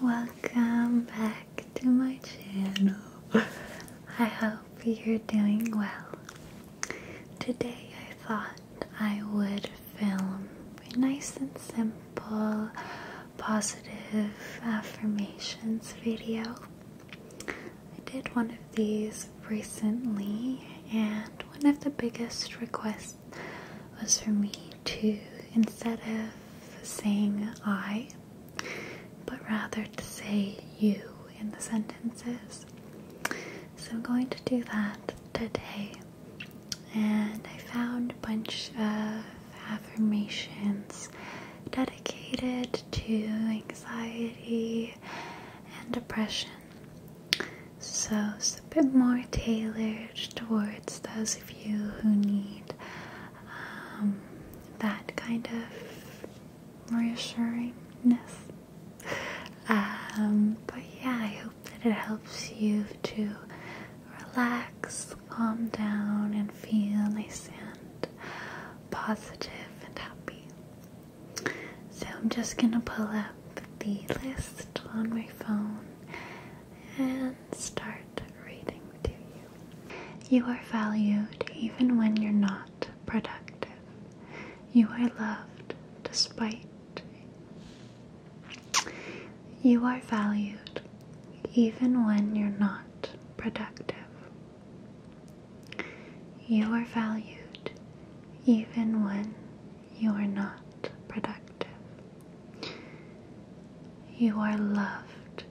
Welcome back to my channel. I hope you're doing well. Today I thought I would film a nice and simple positive affirmations video. I did one of these recently, and one of the biggest requests was for me to, instead of saying I, but rather to say you in the sentences. So I'm going to do that today. And I found a bunch of affirmations dedicated to anxiety and depression. So it's a bit more tailored towards those of you who need um, that kind of reassuringness. Um, but yeah, I hope that it helps you to relax, calm down, and feel nice and positive and happy. So I'm just gonna pull up the list on my phone and start reading to you. You are valued even when you're not productive. You are loved despite. You are valued even when you're not productive. You are valued even when you are not productive. You are loved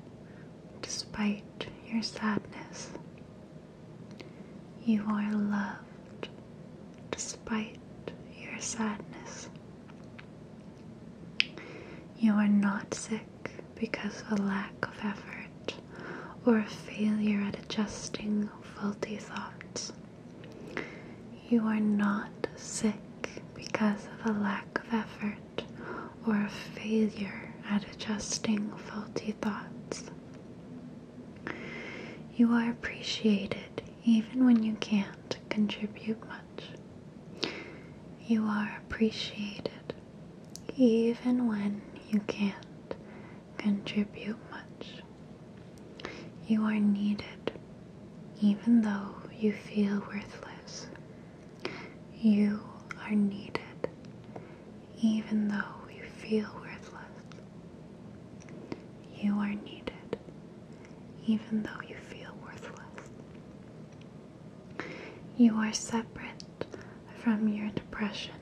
despite your sadness. You are loved despite your sadness. You are not sick because of a lack of effort or a failure at adjusting faulty thoughts. You are not sick because of a lack of effort or a failure at adjusting faulty thoughts. You are appreciated even when you can't contribute much. You are appreciated even when you can't contribute much. You are needed even though you feel worthless. You are needed, even though you feel worthless. You are needed, even though you feel worthless. You are separate from your depression.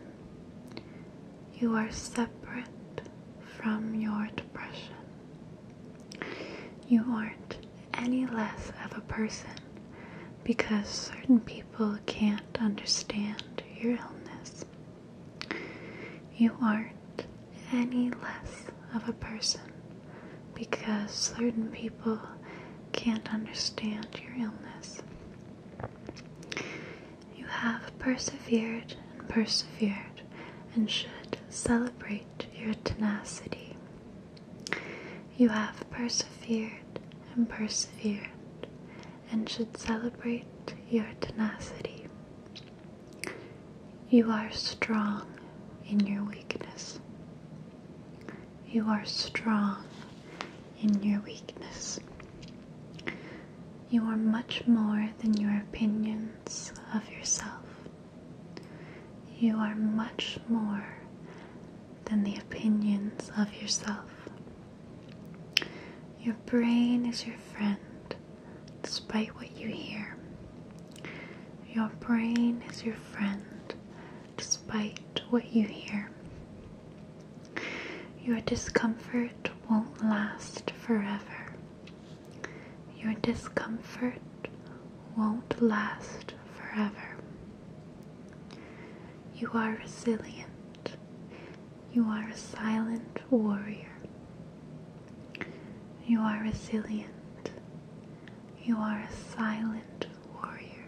You are separate from your depression. You aren't any less of a person because certain people can't understand your illness. You aren't any less of a person because certain people can't understand your illness. You have persevered and persevered and should celebrate your tenacity. You have persevered and persevered and should celebrate your tenacity. You are strong in your weakness. You are strong in your weakness. You are much more than your opinions of yourself. You are much more than the opinions of yourself. Your brain is your friend despite what you hear. Your brain is your friend despite what you hear. Your discomfort won't last forever. Your discomfort won't last forever. You are resilient. You are a silent warrior. You are resilient. You are a silent warrior.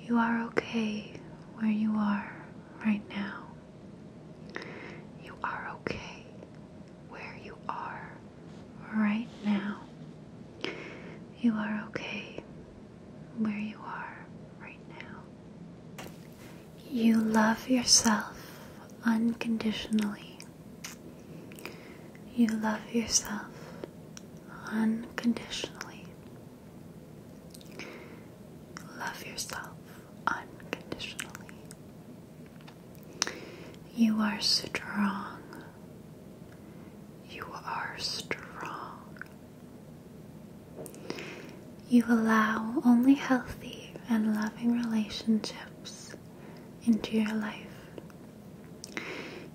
You are okay where you are right now. You are okay where you are right now. You are okay where you are right now. You love yourself unconditionally. You love yourself unconditionally. Love yourself unconditionally. You are strong. You are strong. You allow only healthy and loving relationships into your life.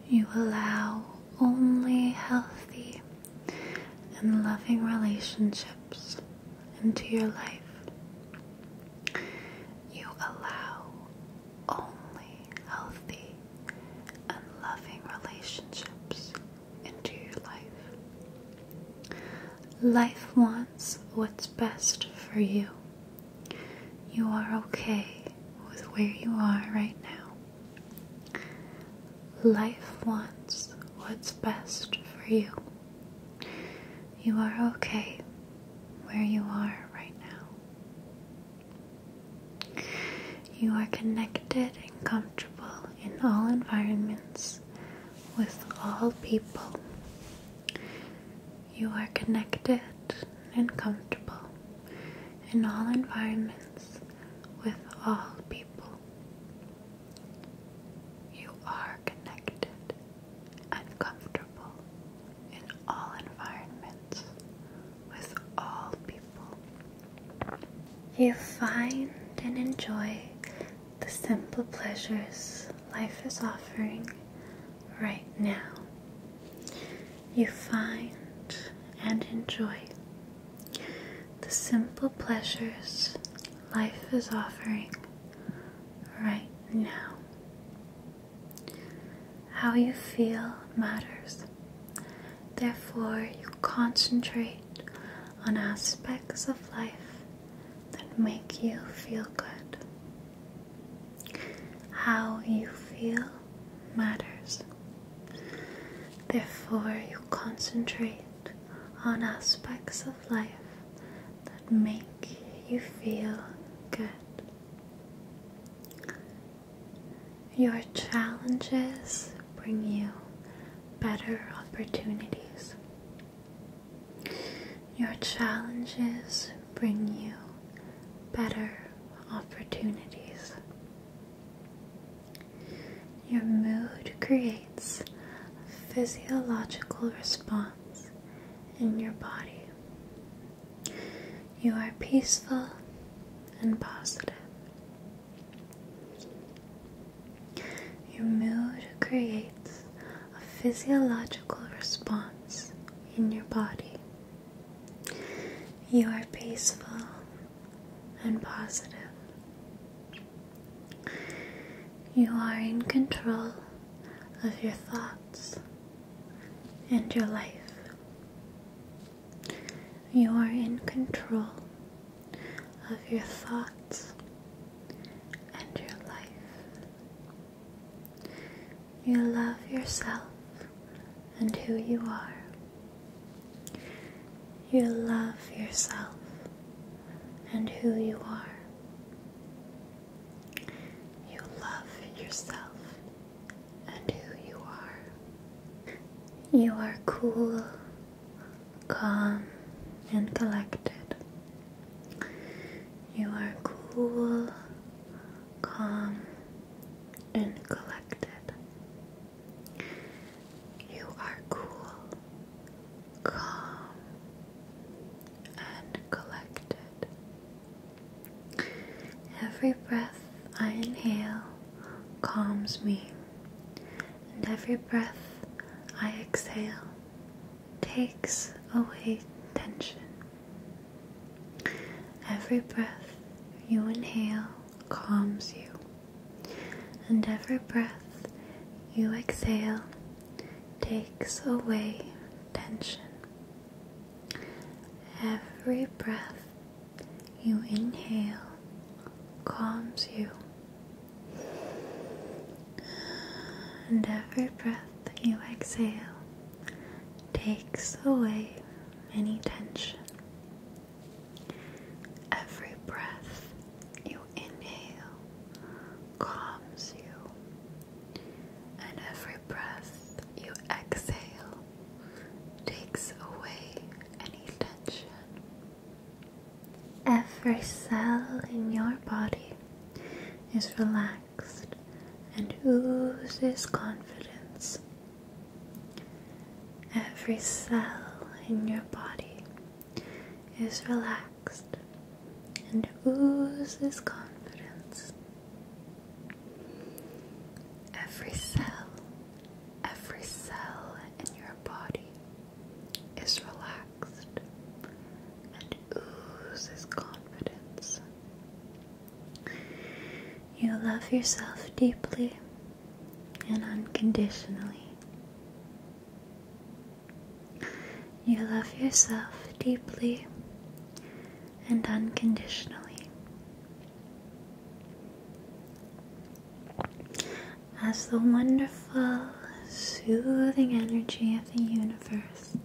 You allow only healthy and loving relationships into your life. You allow only healthy, and loving relationships into your life. Life wants what's best for you. You are okay with where you are right now. Life wants what's best for you. You are okay where you are right now. You are connected and comfortable in all environments with all people. You are connected and comfortable in all environments with all people. You are connected and comfortable in all environments, with all people. You find and enjoy the simple pleasures life is offering right now. You find and enjoy the simple pleasures life is offering right now. How you feel matters. Therefore, you concentrate on aspects of life that make you feel good. How you feel matters. Therefore, you concentrate on aspects of life that make you feel good. Your challenges bring you better opportunities. Your challenges bring you better opportunities. Your mood creates a physiological response in your body. You are peaceful and positive. Your mood creates a physiological response in your body. You are peaceful and positive. You are in control of your thoughts and your life. You are in control of your thoughts and your life. You love yourself and who you are. You love yourself and who you are. You love yourself and who you are. You are cool, calm, and collected. You are cool, calm, and collected. You are cool, calm, and collected. Every breath I inhale calms me, and every breath I exhale takes away tension. Every breath you inhale calms you, and every breath you exhale takes away tension. Every breath you inhale calms you, and every breath you exhale takes away any tension. Every breath you inhale calms you, and every breath you exhale takes away any tension. Every cell in your body is relaxed and oozes confidence. Every cell in your body is relaxed and oozes confidence. Every cell, every cell in your body is relaxed and oozes confidence. You love yourself deeply and unconditionally. You love yourself deeply and unconditionally. As the wonderful, soothing energy of the universe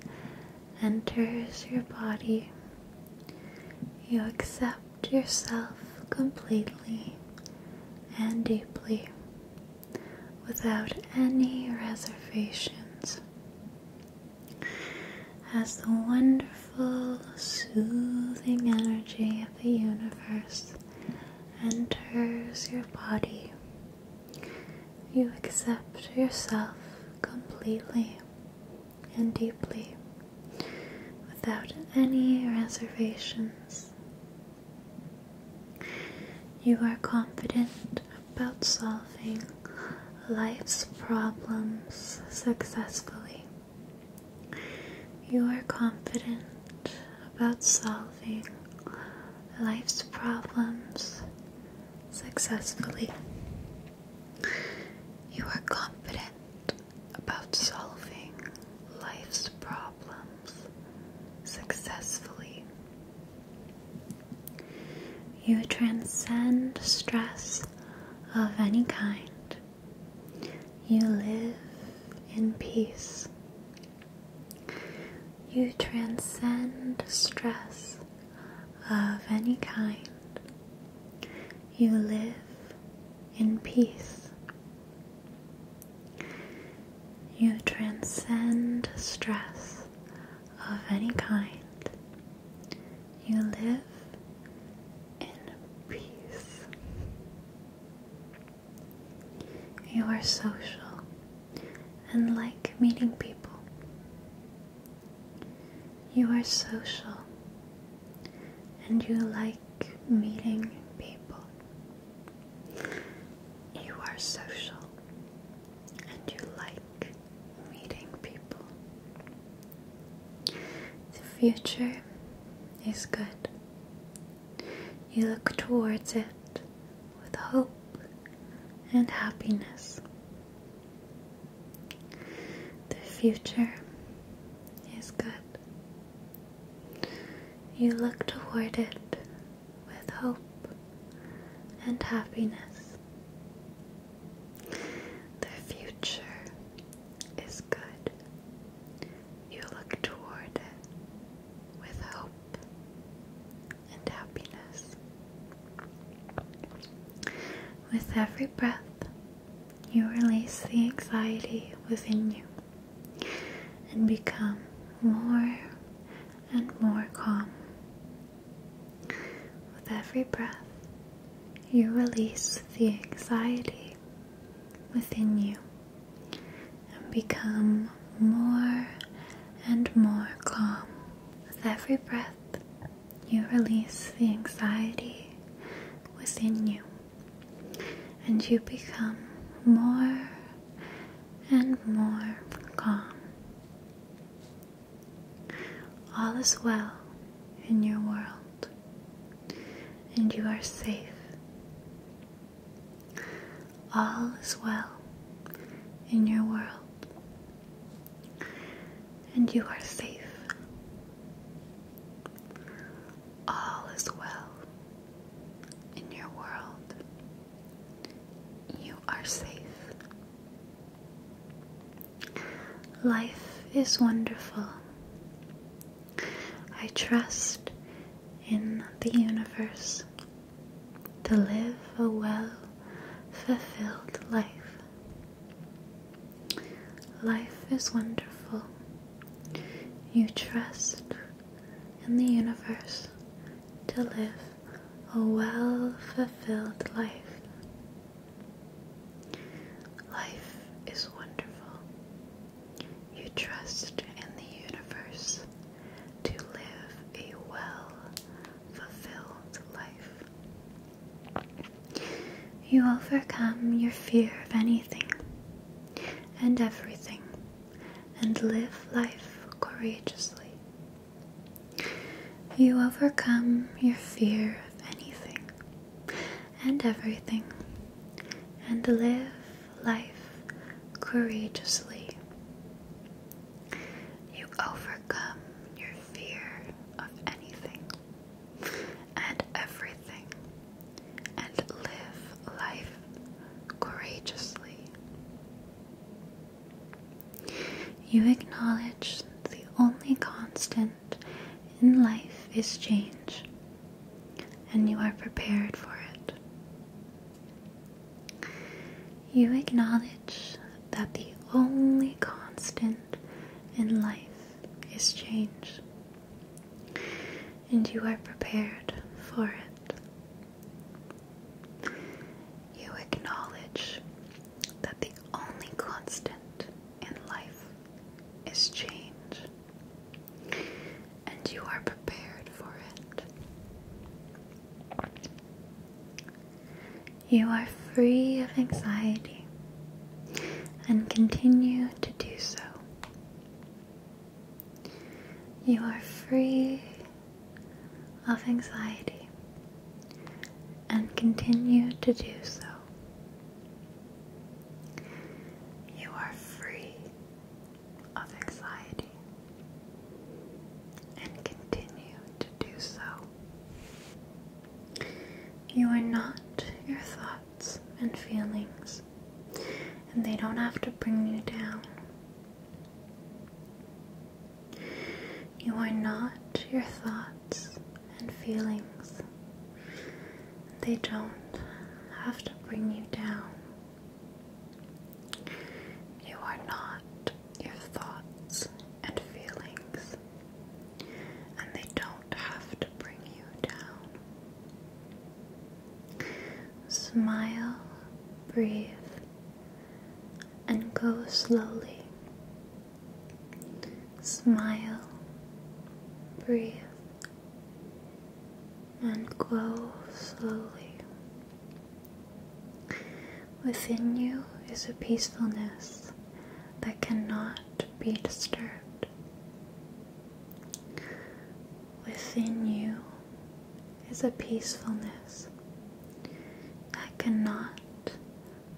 enters your body, you accept yourself completely and deeply without any reservations as the wonderful, soothing energy of the universe enters your body. You accept yourself completely and deeply without any reservations. You are confident about solving life's problems successfully. You are confident about solving life's problems successfully. You are confident about solving life's problems successfully. You transcend stress of any kind. You live in peace. You transcend stress of any kind. You live in peace. You transcend stress of any kind. You live in peace. You are social and like meeting people. You are social and you like meeting people. You are social and you like meeting people. The future is good. You look towards it with hope and happiness. The future is good. You look toward it with hope and happiness. The future is good. You look toward it with hope and happiness. With every breath, you release the anxiety within you and become more and more calm. With every breath, you release the anxiety within you and become more and more calm. With every breath, you release the anxiety within you and you become more and more calm. All is well in your world and you are safe. All is well in your world, and you are safe. All is well in your world. You are safe. Life is wonderful. I trust in the universe to live a well fulfilled life. Life is wonderful. You trust in the universe to live a well fulfilled life. Life is wonderful. You trust in the universe to live a well fulfilled life. You overcome your fear of anything and everything and live life courageously. You overcome your fear of anything and everything, and live life courageously. You overcome your fear of anything and everything and live life courageously. You acknowledge the only constant in life is change, and you are prepared for it. You acknowledge that the only constant in life is change, and you are prepared for it. You acknowledge that the only constant and life is change, and you are prepared for it. You are free of anxiety and continue to do so. You are free of anxiety and continue to do so. You are free of anxiety and continue to do so. You are not your thoughts and feelings, and they don't have to bring you down. You are not your thoughts and feelings. They don't have to bring you down. You are not your thoughts and feelings, and they don't have to bring you down. Smile, breathe, and go slowly Smile, breathe, and glow slowly. Within you is a peacefulness that cannot be disturbed. Within you is a peacefulness that cannot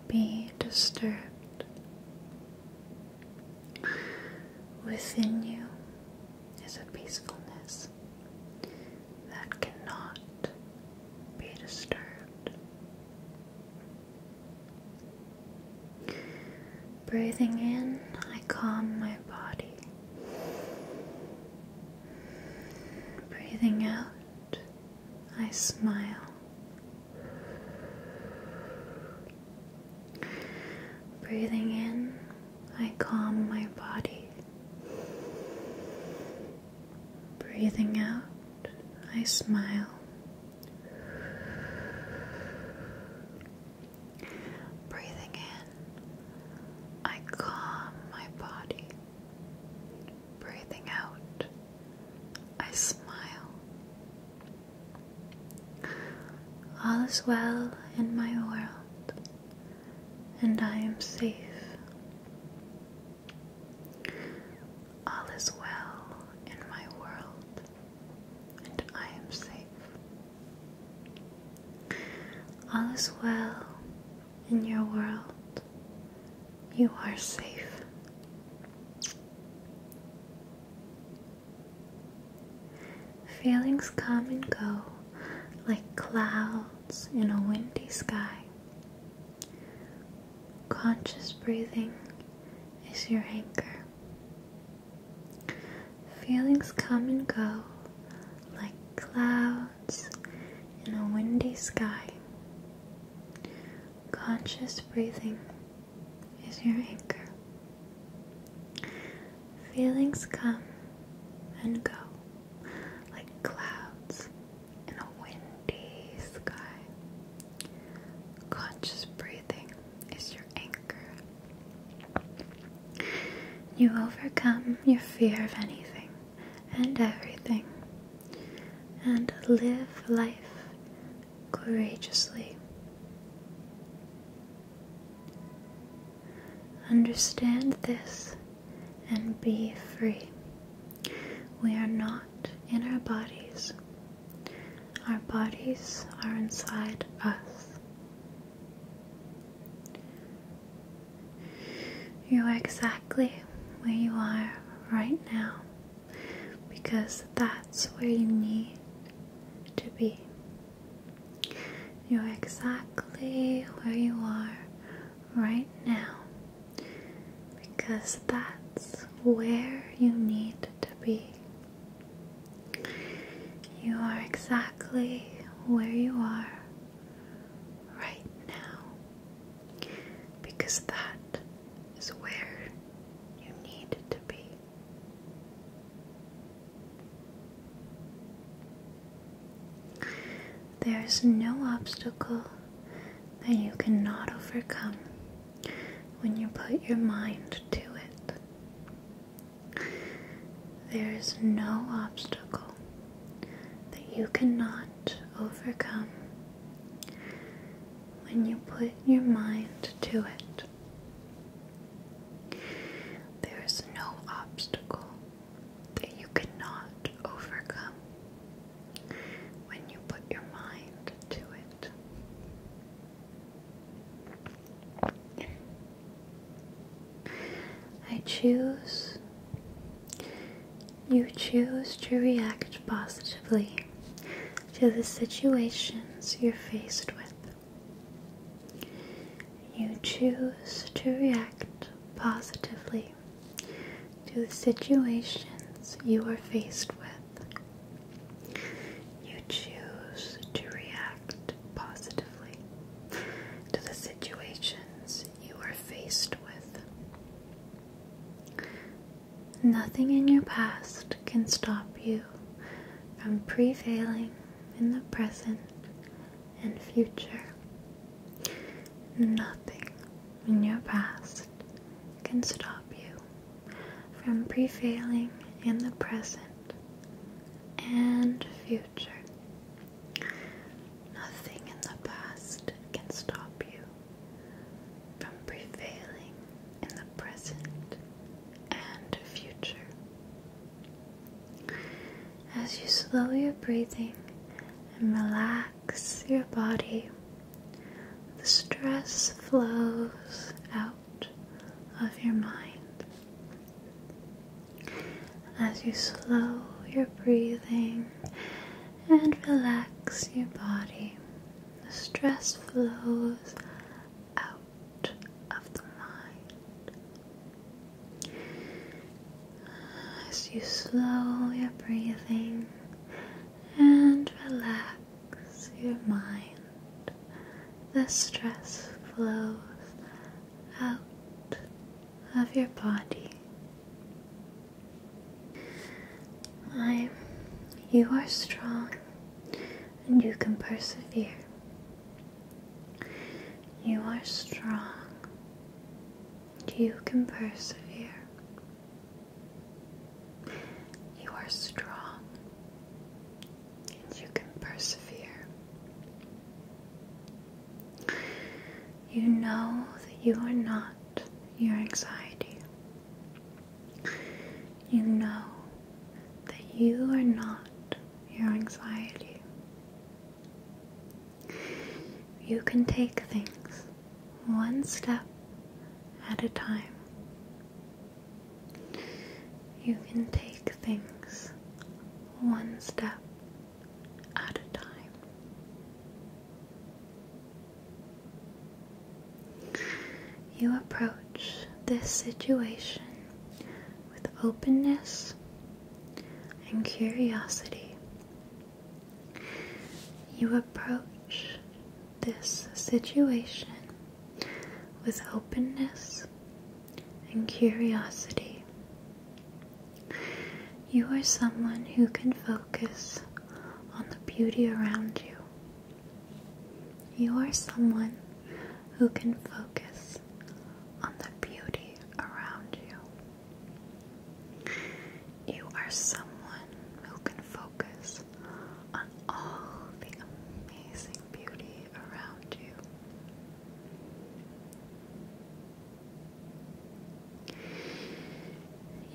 be disturbed. Within you is a peacefulness that cannot be disturbed. Breathing in, I calm my body. Breathing out, I smile Breathing in, I calm my body. Breathing out, I smile. Breathing in, I calm my body. Breathing out, I smile. All is well in my world, and I am safe. All is well in my world, and I am safe. All is well in your world, you are safe. Feelings come and go like clouds in a windy sky. Conscious breathing is your anchor. Feelings come and go like clouds in a windy sky. Conscious breathing is your anchor. Feelings come and go like clouds in a windy sky. Conscious breathing is your anchor. You overcome your fear of anything and everything and live life courageously. Understand this and be free. We are not in our bodies. Our bodies are inside us. You are exactly where you are right now because that's where you need to be. You're exactly where you are right now because that's where you need to be. You are exactly where you are right now because that is where you need to be. There is no obstacle that you cannot overcome when you put your mind to it. There is no obstacle that you cannot overcome when you put your mind to it. There is no obstacle that you cannot overcome when you put your mind to it. I choose, you choose to react positively to the situations you're faced with. You choose to react positively to the situations you are faced with. You choose to react positively to the situations you are faced with. Nothing in your past can stop you from prevailing in the present and future. Nothing in your past can stop you from prevailing in the present and future. Nothing in the past can stop you from prevailing in the present and future. As you slow your breathing and relax your body, the stress flows out of your mind. As you slow your breathing and relax your body, the stress flows out of the mind. As you slow your breathing and relax your mind, the stress flows out of your body. I, you are strong and you can persevere. You are strong. You can persevere. You are strong and you can persevere. You know that you are not your anxiety you know that you are not your anxiety. You can take things one step at a time. You can take things one step at a time. You approach this situation with openness and curiosity. You approach this situation with openness and curiosity. You are someone who can focus on the beauty around you you are someone who can focus on the beauty around you. You are someone who can focus on all the amazing beauty around you.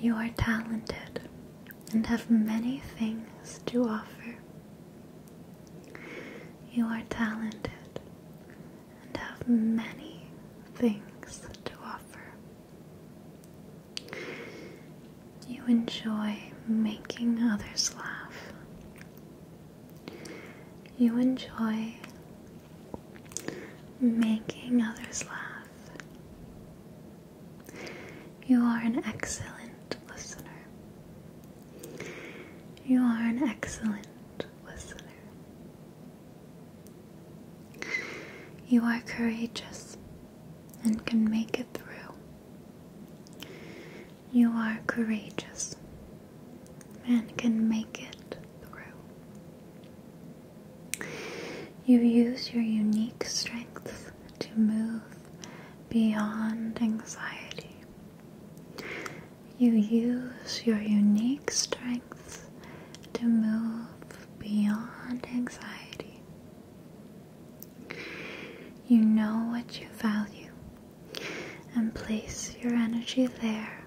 You are talented and have many things to offer. You are talented and have many things to offer. You enjoy making others laugh. You enjoy making others laugh. You are an excellent listener. You are an excellent listener. You are courageous and can make it through. You are courageous and can make it through. You use your unique strengths to move beyond anxiety. You use your unique strengths to move beyond anxiety. You know what you value and place your energy there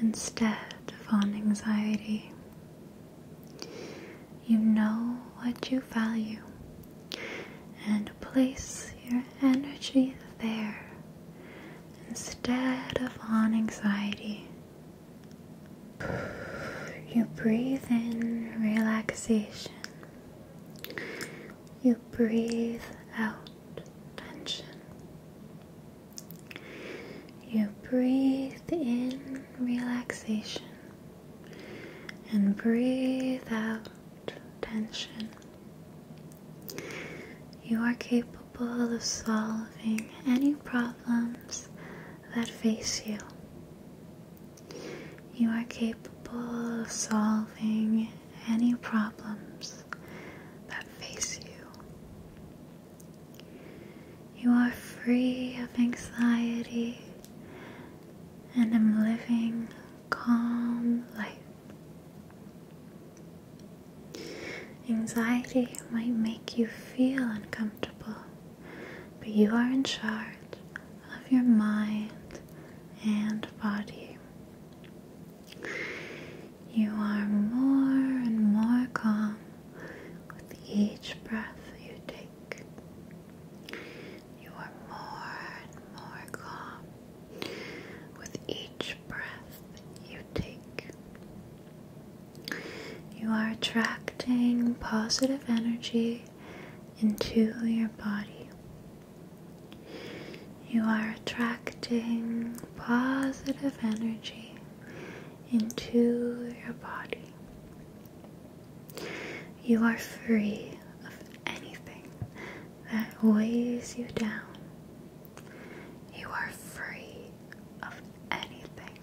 instead of on anxiety. You know what you value and place your energy there instead of on anxiety. You breathe in relaxation. You breathe out tension. You breathe in relaxation and breathe out tension. You are capable of solving any problems that face you. You are capable of solving any problems that face you. You are free of anxiety and i am living calm life. Anxiety might make you feel uncomfortable, but you are in charge of your mind and body. You are more and more calm with each breath you take. You are more and more calm with each breath you take, you are attracting positive energy into your body. You are attracting positive energy into your body. You are free of anything that weighs you down. You are free of anything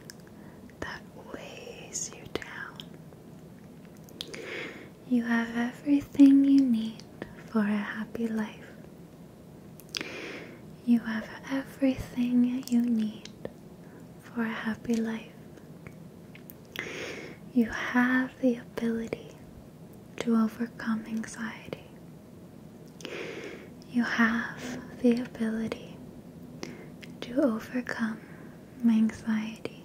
that weighs you down. You have everything you need for a happy life. You have everything you need for a happy life. You have the ability to overcome anxiety. You have the ability to overcome anxiety.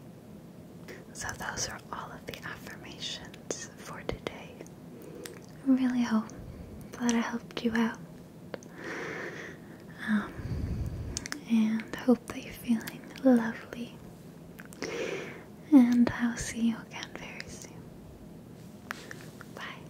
So, those are all of the affirmations for today. I really hope that I helped you out. Um, and hope that you're feeling lovely and I'll see you again very soon. Bye.